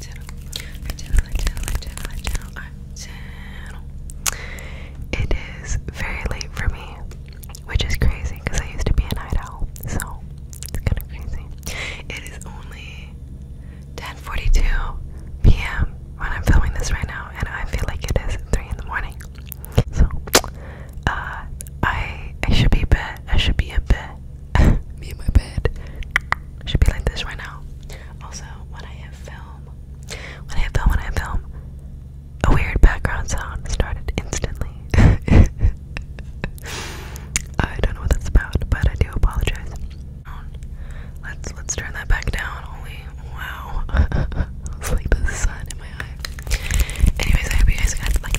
channel, channel, channel, channel, channel, It is very late for me, which is crazy because I used to be an night owl, so it's kind of crazy. It is only 10:42 p.m. when I'm filming this right now, and I feel like it is three in the morning. So, uh, I I should be a I should be a bit me in my bed should be like this right now. Also, when I hit film, when I hit film, when I hit film, a weird background sound started instantly. I don't know what that's about, but I do apologize. Let's let's turn that back down. Only wow, it's like the sun in my eye. Anyways, I hope you guys like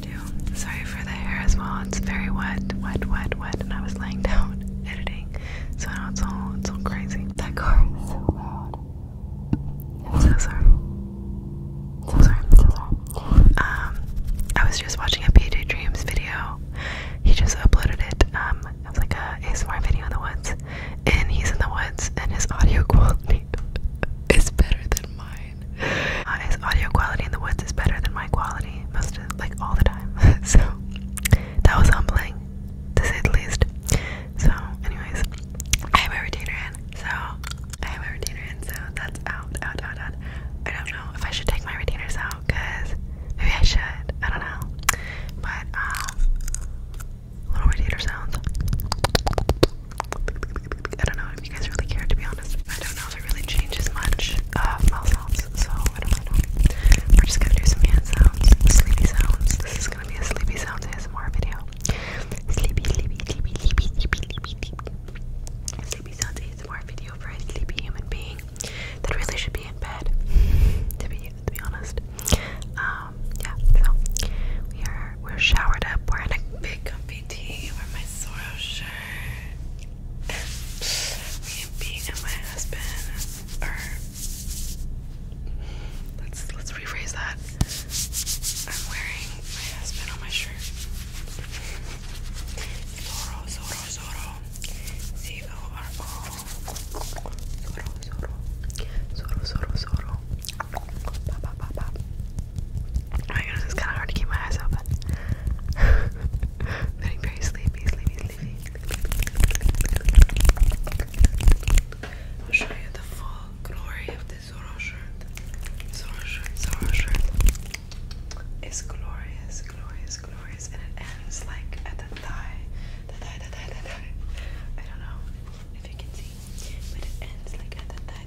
Sorry for the hair as well. It's very wet, wet, wet, wet, and I was laying down editing, so now it's all it's all crazy. That car is so loud. I'm so sorry. So sorry. So sorry. Um, I was just watching a PJ Dreams video. He just uploaded it. Um, it was like a ASMR video in the woods, and he's in the woods, and his audio quality is better than mine fine. Uh, audio quality in the woods is better than my quality most of like all the time. so that was humbling, to say the least. So, anyways, I have a retainer in, so I have a retainer in, so that's out, out, out, out. I don't know if I should take my retainers out, cause maybe I should. I don't know. But um little retainer sounds. I don't know if you guys really care to be honest. I don't know smells really changes much uh, mouth sounds, so I don't know. We're just gonna do some hand sounds, sleepy sounds. This is gonna be a sleepy sounds ASMR video. Sleepy, sleepy, sleepy, sleepy, sleepy, sleepy, sleepy. Sleepy sounds ASMR video for a sleepy human being that really should be in bed. To be to be honest. Um, yeah, so we are we're showered up, we're in a big comfy tee. we're my Soros shirt me being and my husband are let's let's rephrase that. I'm wearing my husband on my shirt. Zoro, Zoro, Zoro. Z-O-R-O. Zoro, Zoro. Zoro, Zoro, Zoro. Pop, pop, pop, pop. Oh my goodness, it's kind of hard to keep my eyes open. getting very sleepy, sleepy, sleepy. show you the full glory of the Zoro shirt. Zoro It's glorious, glorious, glorious, and it ends like at the thigh. The thigh, the thigh, the thigh. I don't know if you can see, but it ends like at the thigh.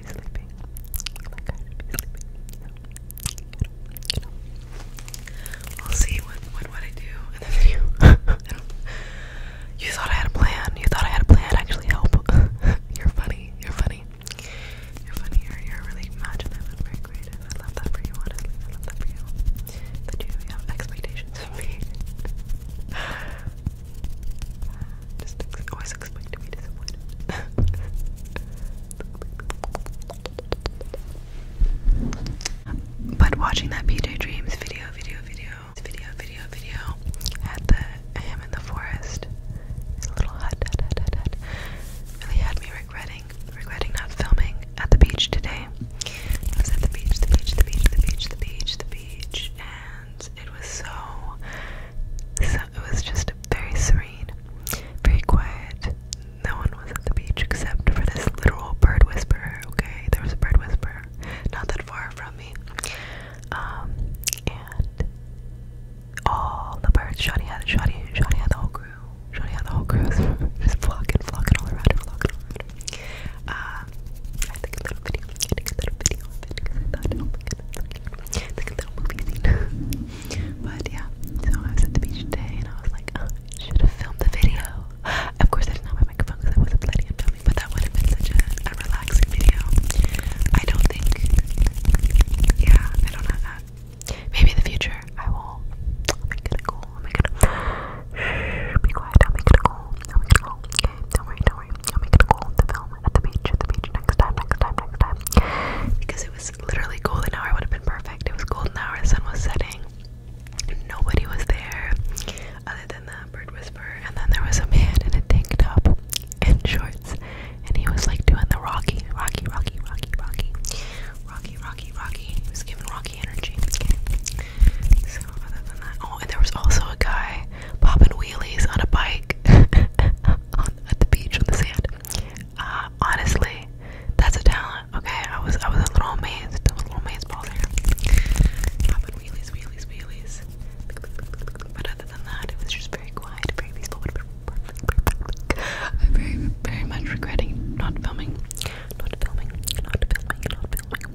I You will see what what what I do in the video. you thought I had a plan. You thought I had a plan. Actually, help. you're funny. You're funny. You're funny. You're, you're really imaginative very creative. I love that for you. Honestly, I love that for you. That you have expectations of me. but watching that PJ Dreams video, video, video, video, video, video at the Am in the Forest, his little hut, hut, hut, hut, really had me regretting, regretting not filming at the beach today. I was at the beach, the beach, the beach, the beach, the beach, the beach, and it was so, so it was just very serene, very quiet. No one was at the beach except for this literal bird whisperer, okay? There was a bird whisperer not that far from me. Um, and all the birds, Shawty had it, Shawty, had the whole crew. Shawty had the whole crew just flocking, flocking all around flocking around her. Uh, I think a little video gonna get that video I it's like a little movie scene. but yeah, so I was at the beach today and I was like, oh, should have filmed the video. Of course, I didn't have my microphone because I wasn't planning on filming, but that would have been such a, relaxing video. I don't think, yeah, I don't have that. Maybe in the future I will. I'll make it a goal. I'll be quiet. I'll make it a goal. I'll make it a Okay, don't worry, don't worry. I'll make it a goal film at the beach, at the beach next time, next time, next time. Because it was literally golden hour would have been perfect. It was golden hour, the sun was setting. Nobody was there other than the bird whisperer. And then there was a man in a tank top and shorts. And he was like doing the Rocky, Rocky, Rocky, Rocky, Rocky, Rocky, Rocky, Rocky. He was giving Rocky energy. So other than that, oh, and there was also a guy popping wheelies on a bike on, at the beach on the sand. honestly, that's a talent. Okay, I was I was a little amazed. I was a little amazed ball there. Popping wheelies, wheelies, wheelies. But other than that, it was just very quiet, very peaceful. I'm very, very much regretting not filming, not filming, not filming, not filming,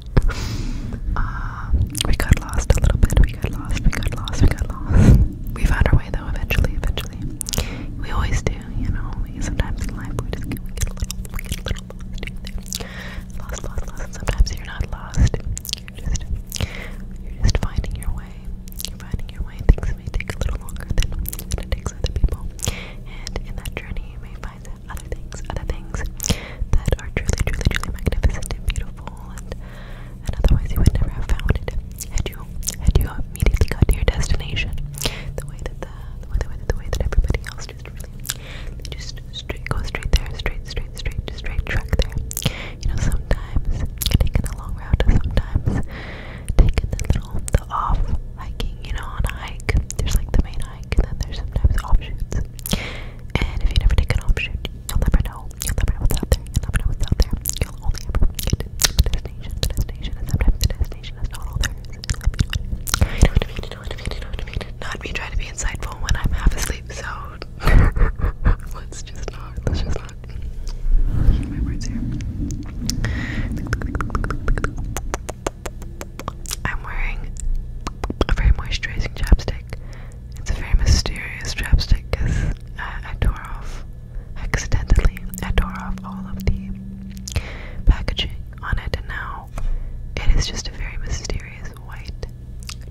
Um, we got lost a little bit. We got lost. We got lost. We got lost. We found our way though. Eventually, eventually. We always do, you know. Sometimes in life we just get, a little, get a little lost. sometimes you're not lost. You're just, you're just finding your way. You're finding your way. Things may take a little longer than it takes other people, and in that journey you may find other things, other things that are truly, truly, truly magnificent and beautiful, and, and otherwise you would never have found it had you had you immediately got to your destination. The way that the the way, the way, that, the way that everybody else just really they just straight go straight there, straight, straight, straight, just straight track there. You know, sometimes taking the long route, sometimes taking the little the off hiking, you know, on a hike. There's like the main hike, and then there's sometimes offshoots. And if you never take an off you'll never know. You'll never know what's out there. You'll never know what's out there. You'll only ever get to destination, destination, destination not me trying to be insightful when I'm half asleep, so let's just not, let's just not. my words here. I'm wearing a very moisturizing chapstick it's a very mysterious chapstick because uh, I, tore off, accidentally, I tore off all of the packaging on it, and now it is just a very mysterious white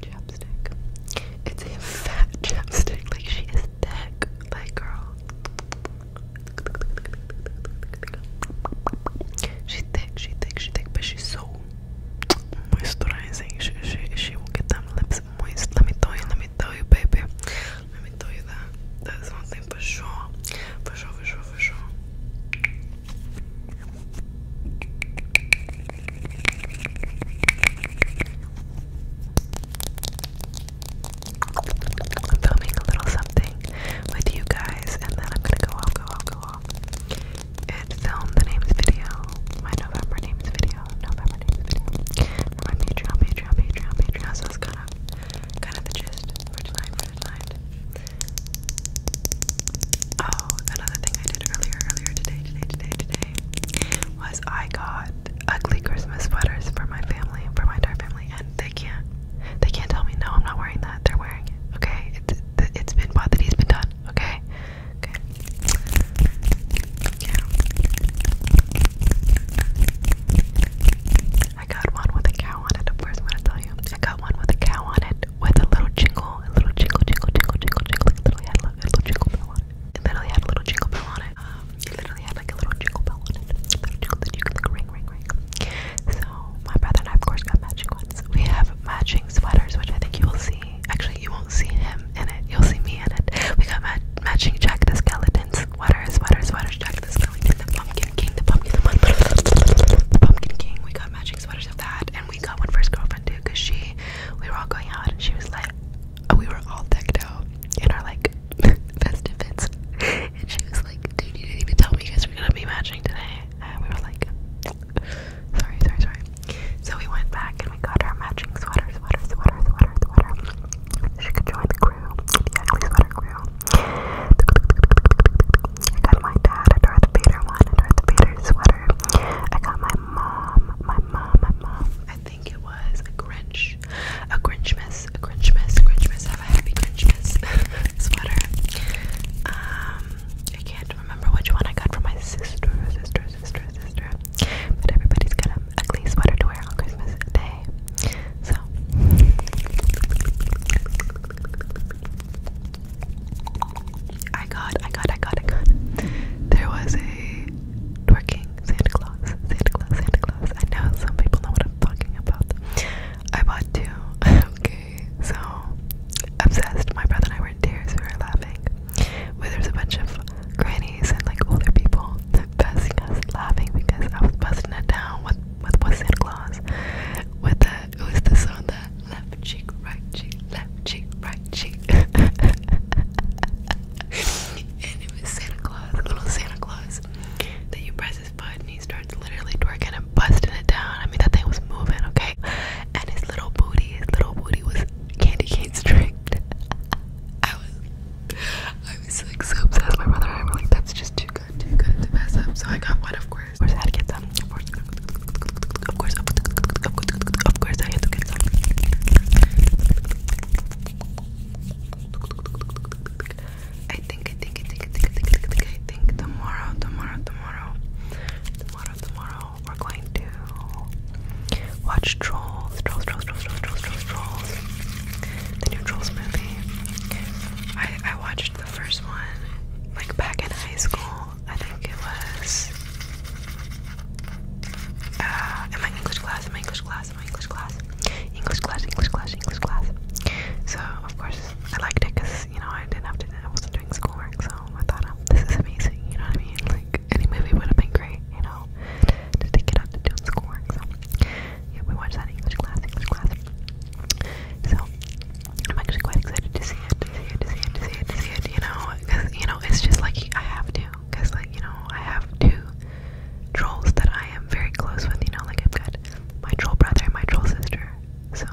chapstick. It's a fat chapstick, like she is thick, like girl. She's thick, she's thick, she's thick, but she's so moisturizing. She, she, she will get them lips moist. Let me tell you, let me tell you, baby. Let me tell you that. That's one for sure. For sure, for sure, for sure. I'm filming a little something with you guys, and then I'm gonna go off, go off, go off and film the names video, my November names video, November names video, for my Patreon, Patreon, Patreon, Patreon. So that's kind of, kind of the gist for tonight, for tonight. Oh, another thing I did earlier, earlier today, today, today, today, was I got ugly Christmas sweaters for my family, for my entire family, and they can't, they can't tell me no, I'm not wearing that. They're wearing it. Okay, it's, it's been bought. That he's been done okay? Okay. Yeah. I got one with a cow on it, of course, i tell you. I got one with a cow on it with a little jingle, a little jingle, jingle, jingle, jingle, jingle. It literally had a little jingle bell it. literally had a little jingle bell on it. Um, it literally had like a little jingle bell on it. A jingle that you could like ring, ring, ring. So, my brother and I, of course, got matching we have matching sweaters, which I think you will see. Actually, you won't see him in it. You'll see me in it. We got matching Jack the Skeleton sweaters. sweater, sweater. Jack the Skeleton, the Pumpkin King, the Pumpkin, the Pumpkin, King. We got matching sweaters of that, and we got one for his girlfriend too, cause she. We were all going out, and she was like, uh, we were all decked out in our like festive fits, and she was like, "Dude, you didn't even tell me you guys were gonna be matching today." and we were like, sorry, sorry, sorry. So we went back and we got our matching sweaters, sweater, sweater, sweater, sweater. She could join the crew, the ugly sweater crew. I got my dad a Darth Vader one, a Darth Vader sweater. I got my mom, my mom, my mom. I think it was a Grinch, a Grinchmas, a Grinchmas, Grinchmas, have a happy Grinchmas sweater. Um, I can't to remember which one I got from my sister, sister, sister, sister. But everybody's got an ugly sweater to wear on Christmas Day. So. I got, I got, I got, I got. There was a twerking Santa Claus, Santa Claus, Santa Claus. I know some people know what I'm talking about. I bought two. okay, so obsessed. My brother and I were in tears, we were laughing. Where there's a bunch of grannies and like older people busting us laughing because I was busting that down with with Santa Claus. With the it was this on the left cheek, right cheek, left cheek, right cheek. and it was Santa Claus, little Santa Claus that you press his button, he starts literally twerking and busting it down. I mean, that thing was moving, okay? And his little booty, his little booty was candy cane striped. I was, I was like so obsessed. with My brother I were like, that's just too good, too good to mess up. So I got one, of course. Of course, I had to get some. Of course, of course, of course, of course, I had to get some. I think, I think, I think, I think, I think, I think tomorrow, tomorrow, tomorrow, tomorrow, we're going to watch Trolls, Trolls, Trolls, Trolls, Trolls, Trolls, Trolls, the new Trolls movie. I, I watched the first one, like, back in high school. I think it was, uh, my English class, my English class, my English class, English class, English class, English class. So, of course, I liked it you know I didn't have to. I wasn't doing schoolwork, so I thought, um, this is amazing. You know what I mean? Like any movie would have been great, you know, to take it out to do schoolwork. So yeah, we watched that English class, English class. So I'm actually quite excited to see it, to see it, to see it, to see it, You know, because you know it's just like I have to, because like you know I have two trolls that I am very close with. You know, like I've got my troll brother and my troll sister. So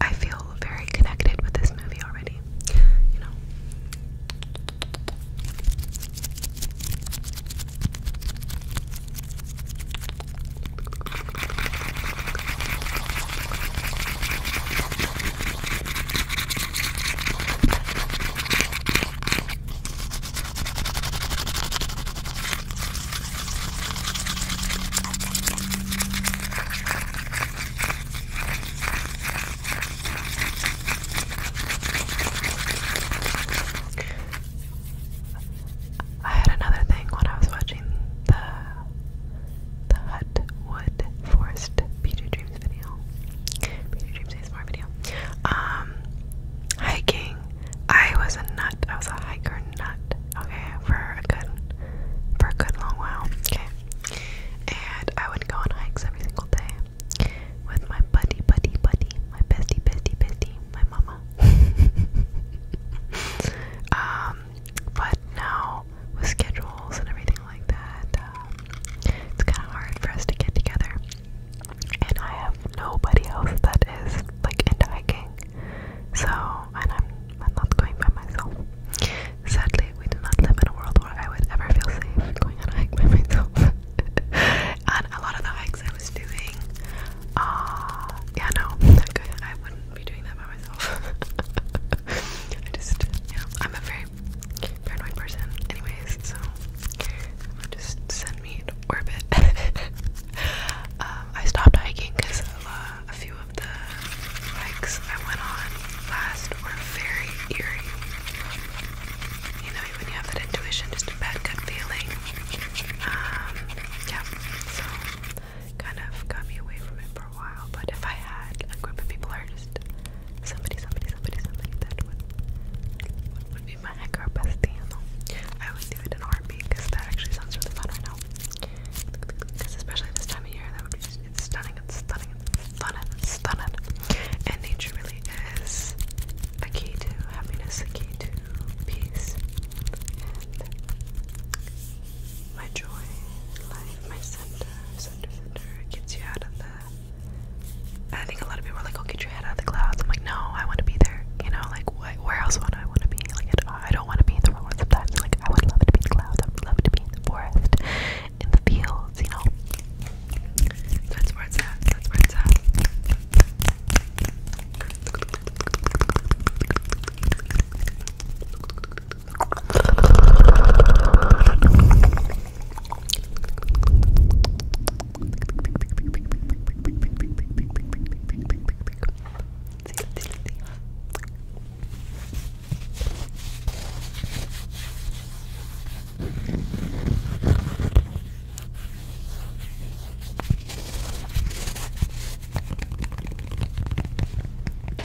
I feel very connected with this movie already, you know. I had another thing when I was watching the the Hut Wood Forest PJ Dreams video. PJ Dreams is video. Um hiking. I was a nut. I was a hiker nut okay, for a good, for a good long while, okay, and I would go on hikes every single day with my buddy, buddy, buddy, my bestie, bestie, bestie, my mama, um, but now with schedules and everything like that, um, it's kind of hard for us to get together, and I have nobody else that is, like, into hiking, so, and I'm, I'm not going by myself. Sadly, we do not live in a world where I would ever feel safe going on a by myself. and a lot of the hikes I was doing, uh, yeah, no, I wouldn't be doing that by myself. I just, yeah, I'm a very paranoid person, anyways, so just send me to orbit. Um, I stopped hiking because a few of the hikes I went on last were very eerie. You know, when you have that intuition, just a bad gut feeling. Um, yeah, so kind of got me away from it for a while. But if I had a people or just somebody, somebody, somebody, somebody that would would be my heck bestie, I would do it in a heartbeat because that actually sounds really fun right now. Because especially this time of year, that would be just, it's stunning, it's stunning, it's stunning, stunning. And nature really is a key to happiness, a key to peace, and my joy, life, my center, center, center. It gets you out of the. I think a lot of people are like, "Oh, get your head out of the clouds." I'm like, "No, I want to be there." You know, like where else would I want to be? Like, I don't want to be in the world sometimes. Like, I would love to be in the clouds. I would love to be in the forest, in the fields. You know, that's where it's at. That's where it's at.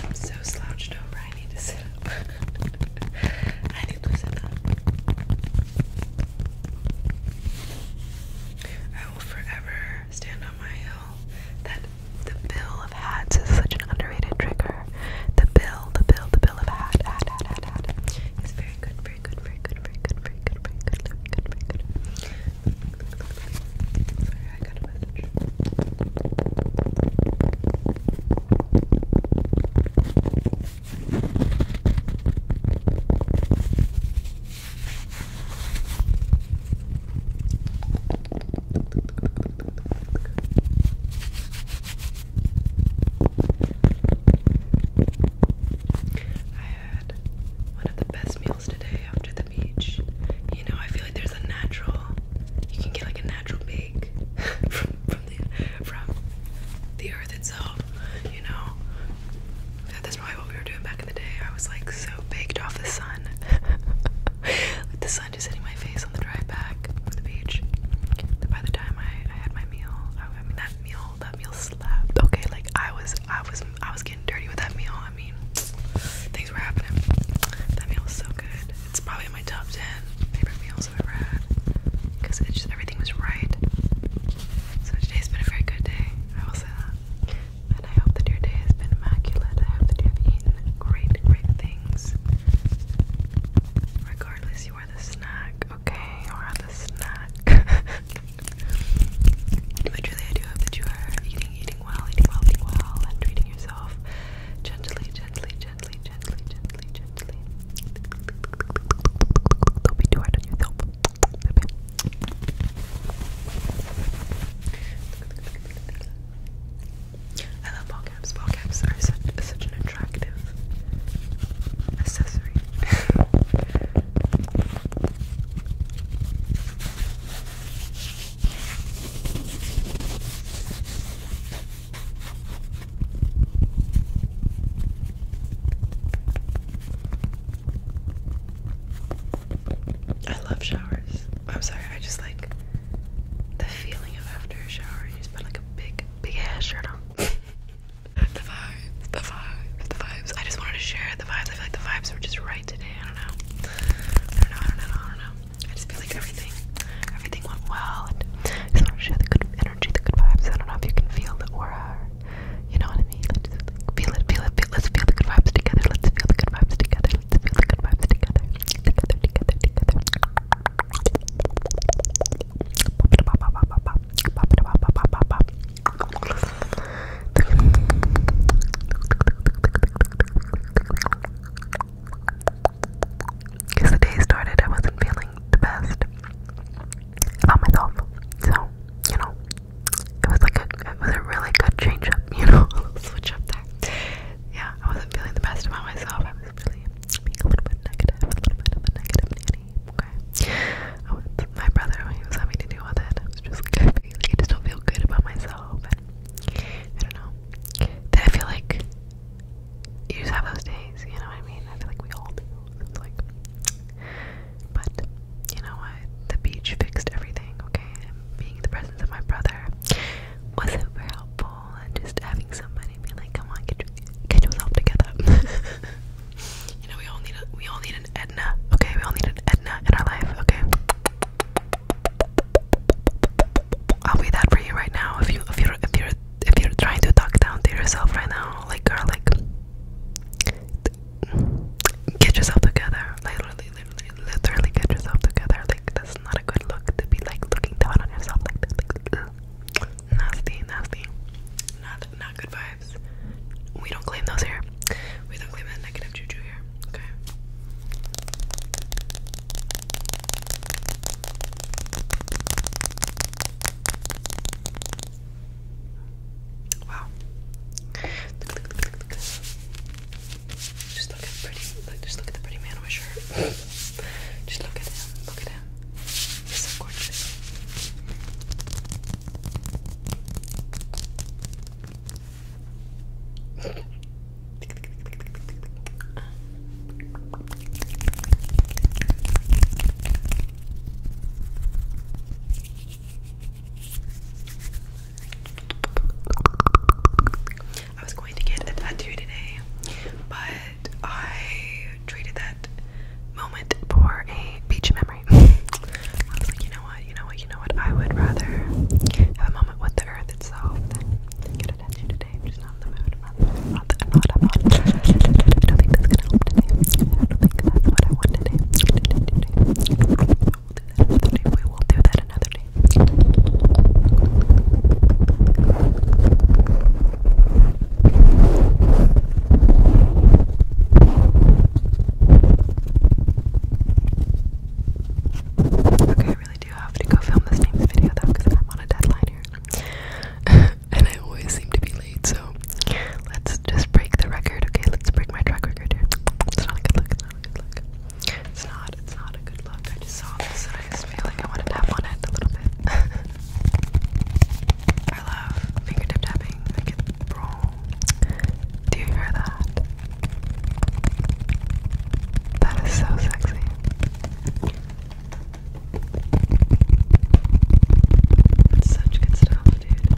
I'm so slouched over, I need to sit up. I need to sit up. I will forever trigger, stand on my hill. That the bill of hats is such an underrated trigger. The bill, the bill, the bill of hat, hat, hat, hat, hat. It's very good, very good, very good, very good, very good, very good, very good, very good. Sorry, I got a message. I had one of the best meals today after the beach. You know, I feel like there's a natural you can get like a natural bake from the earth itself, you know. That's probably what we were doing back the day, I was like so baked off the sun. the sun just hitting my face on the drive back from the beach. by the time I, had my meal, I, mean that meal, that meal slapped. Okay, like I was, I was, I was getting dirty with that meal. I mean, things were happening. That meal was so good. It's probably my top ten favorite meals ever because it's just everything was right. So today's been a very good day. I will say that. And I hope that your day has been immaculate. I hope that you have eaten great, great things. Regardless, you are the snack, okay? You are the snack. but I do hope that you are eating, eating well, eating well, well, and treating yourself gently, gently, gently, gently, gently, gently. Don't be too hard on yourself. Okay. I love ball caps. Ball caps are such, an attractive accessory. I love showers. I'm sorry, I just like the feeling of after a shower. You just put like a big, big ass shirt on. the vibes, the vibes, the vibes. I just wanted to share the vibes. I feel like the vibes were just right today. I don't know. I don't know. I I just feel like everything, everything went well. And just want to share the good energy, the good vibes. I don't know if you can feel the aura you know what I mean? Let's like, feel it, feel it, feel it. Let's feel the good vibes together. Let's feel the good vibes together. Let's feel the good vibes together. Together, together, together. Because the day started, I wasn't feeling the best about myself. So, you know, it was like a it was a really good change up, you know, switch up there. Yeah, I wasn't feeling the best about myself. I was really being a little bit negative, a little bit of a negative nanny. Okay, I my brother when he was having to do with it. I was just like, I, feel, I just don't feel good about myself, and I don't know. Then I feel like you just have those days, you know what I mean? I feel like we all do. it's like but you know what? The beach fixed everything, okay? being in the presence of my brother was super helpful and just having somebody be like, come on, get, your, get yourself together. you know, we all need a, we all need an Edna, okay? We all need an Edna in our life, okay? I'll be that for you right now. If you if you if you're if you're trying to talk down to yourself right now, like girl, like get yourself together. Literally, literally, literally get yourself together. Like that's not a good look to be like looking down on yourself like that. Like, nasty, nasty. Not not good vibes. We don't claim those here. We don't claim that negative juju here. Okay. Wow. Look, Just look at the pretty. just look at the pretty man on my shirt. just look at him. Look at him. He's so gorgeous. I was going to get a tattoo today, but I treated that moment for a beach memory. I was like, you know what, you know what, you know what, I would rather have a moment with the earth itself than get a tattoo today. I'm just not in the mood. I'm not, I'm not, I'm not, I'm we will do that another day. We will do that another day. Okay, I really do have to go film this next video though because I'm on a deadline here. and I always seem to be late, so let's just break the record. Okay, let's break my track record here. It's not a good look. It's not a good look. It's not. It's not a good look. I just saw this and I just feel like I want to tap on it a little bit. I love fingertip tapping. Like it, bro. Do you hear that? That is so sexy. It's such good stuff, dude.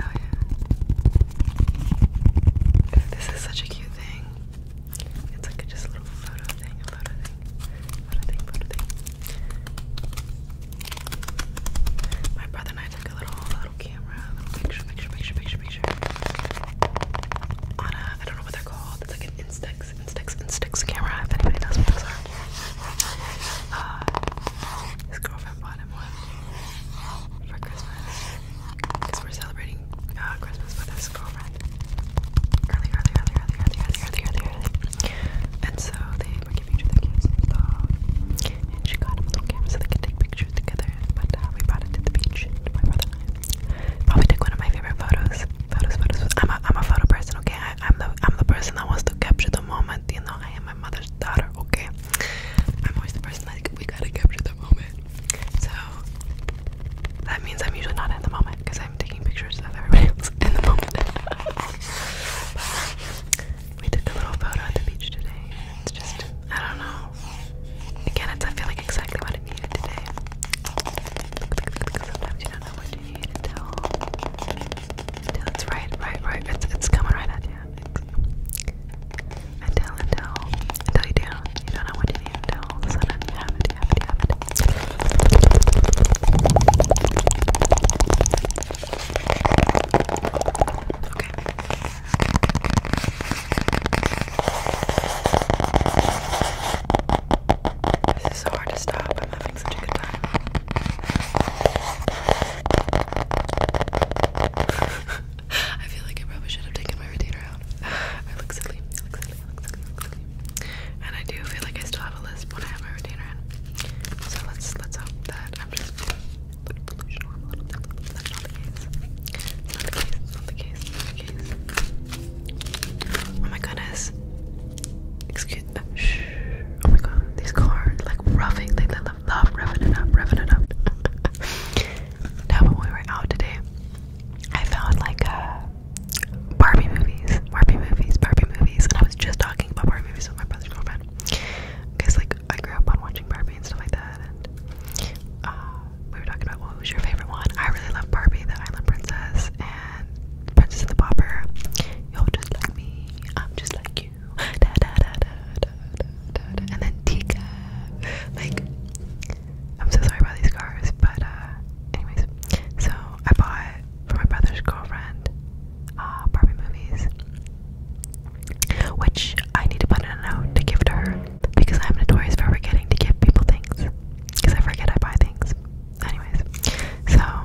Oh yeah. This is such a cute thing. It's like just a little photo thing, a photo thing, photo thing, photo thing. My brother and I took a little, little camera, little picture, picture, picture, picture, picture. On a, I don't know what they're called. It's like an Instax and sticks and sticks camera if anybody knows what those are. Uh, his girlfriend bought him one for Christmas we're celebrating uh, Christmas with his girlfriend early, early, early, early, early, early, early, And so they were giving each other gifts and she got him a little camera so they could take pictures together. But uh, we brought it to the beach. My brother and I probably took one of my favorite photos. Photos, photos. I'm a, I'm a photo person. Okay, I, I'm the I'm the person that wants to capture the moment. You know, I am my mother's daughter. Okay, I'm always the person that we gotta capture the moment. So that means I'm usually not in the moment because I'm taking pictures of everybody else in the moment. but we did a little photo at the beach today. It's just I don't know. Again, it's I feel like exactly what I needed today. Sometimes you don't know what shade until it's right, right, right. It's it's coming right at you. Until until until you do, you don't know what you need until all of a sudden This is so hard to stop. I'm having such a good time. I feel like I probably should have taken my retainer out. I look silly. I look silly. I look silly. And I do feel like I still have a lisp when I have my retainer in. So let's let's hope that I'm just a little bit. That's not the case. It's not the case. It's not the case. Oh my goodness. Excuse Shh. Oh my god, these cars like roughing. They love, love roughing it up, roughing it up. now when we were out today, I found like uh, Barbie movies, Barbie movies, Barbie movies, and I was just talking about Barbie movies with my brother's girlfriend. Because like I grew up on watching Barbie and stuff like that, and uh, we were talking about what was your favorite one. I really love Barbie, the Island Princess, and Princess and the Popper. You're just like me, I'm just like you. Da, da, da, da, da, da, da. And then Tika. Like, I'm so sorry about these cars, but uh, anyways. So I bought for my brother's girlfriend Barbie uh, movies, which I need to put in a note to give to her because I'm notorious for forgetting to give people things because I forget I buy things anyways, so uh,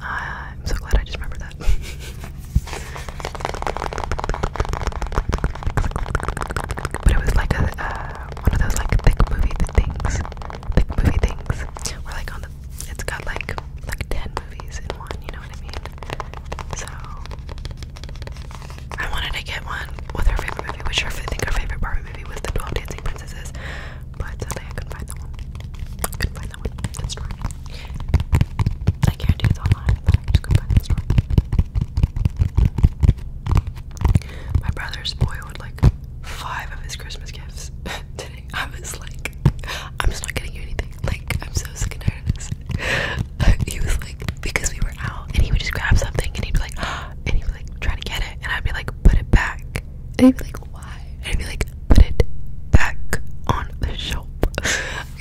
I'm so glad I just remembered that. but it was like a uh, one of those like thick movie things, thick movie things. Where like on the, it's got like like ten movies in one. You know what I mean? So I wanted to get one with her favorite movie, which I think her favorite Barbie movie was the Twelve Dancing Princesses. But sadly, I couldn't find that one. I couldn't find that one in the store. I can't do it online, but I just couldn't find it in the store. My brother's boy would like five of his Christmas gifts today. I was like, I'm just not getting you anything. Like, I'm so sick and tired of this. he was like, because we were out, and he would just grab something, and he'd be like, and he'd be like, try to get it, and I'd be like, put it back, and he'd be like, and i be like, put it back on the shelf.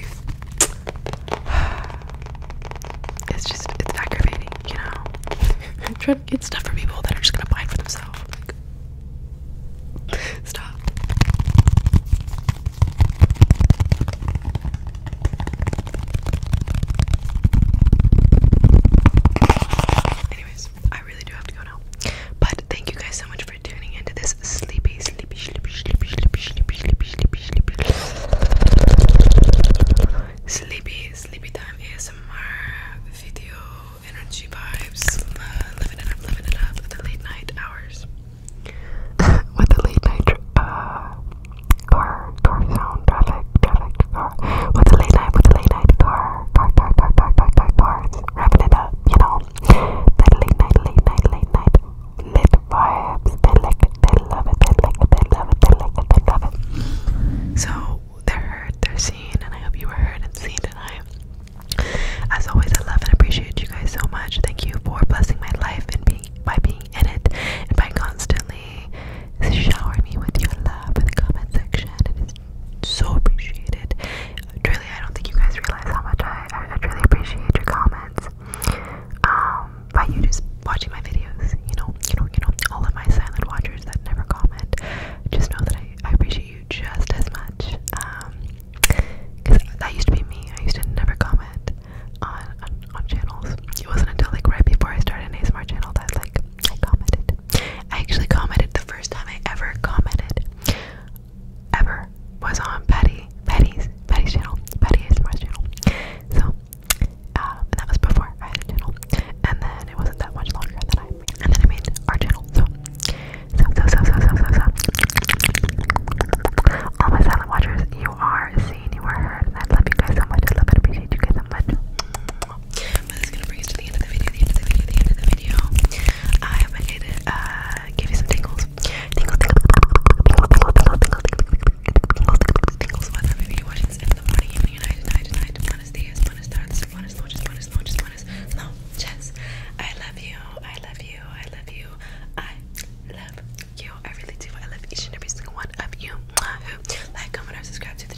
it's just, it's aggravating, you know? Trying to get stuff for people that are just gonna buy it for themselves. stop. Anyways, I really do have to go. But thank you guys so much for tuning into this sleepy, sleepy, sleepy, sleepy, sleepy, sleepy, sleepy, sleepy, sleepy, sleepy, sleepy time ASMR video energy vibes. Uh, living it up, living it up at the late night hours. With the late night uh, car, car sound, traffic, traffic, car car with the late night, with the late night car, car, car, car, car, car, car, car, wrapping it up, you know. That late night, late night, late night, lit vibes. They like it, they love it, they like it, they love it, they like it, they love it. So they're heard, they're seen, and I hope you were heard and seen tonight. As always, I love and appreciate you guys so much. Thank you for blessing my life and being by being in it and by constantly showering me with your love in the comment section. It is so appreciate it. Truly, I don't think you guys realize how much I, I, truly appreciate your comments. Um, by you just watching my videos, you know, you know, you know, all of my silent watchers that never comment, just know that I, I appreciate you just as much. Um, cause that used to be me. I used to never comment on on, channels. It wasn't until like right before I started an ASMR channel that like I commented. I actually commented the first time I ever commented ever was on Patty Patty's Patty's channel Patty's channel. So uh, and that was before I had a channel, and then it wasn't that much longer than I made, and then I made our channel. So so so so so so so. so. All my silent watchers, you are seen, you are heard, and I love you guys so much. I love and appreciate you guys so much. But this is gonna bring us to the end of the video, the end of the video, the end of the video. I hope I did give you some tingles. Tingle, tingle, tingle, tingle, tingle, tingle, tingle, tingle, tingles, whether maybe you're watching this in the morning, evening, night, night, night, buenos dias, buenas tardes, buenas noches, buenas noches, buenas noches. I love you, I love you, I love you, I love you, I really do. I love each and every single one of you who like, comment, or subscribe to the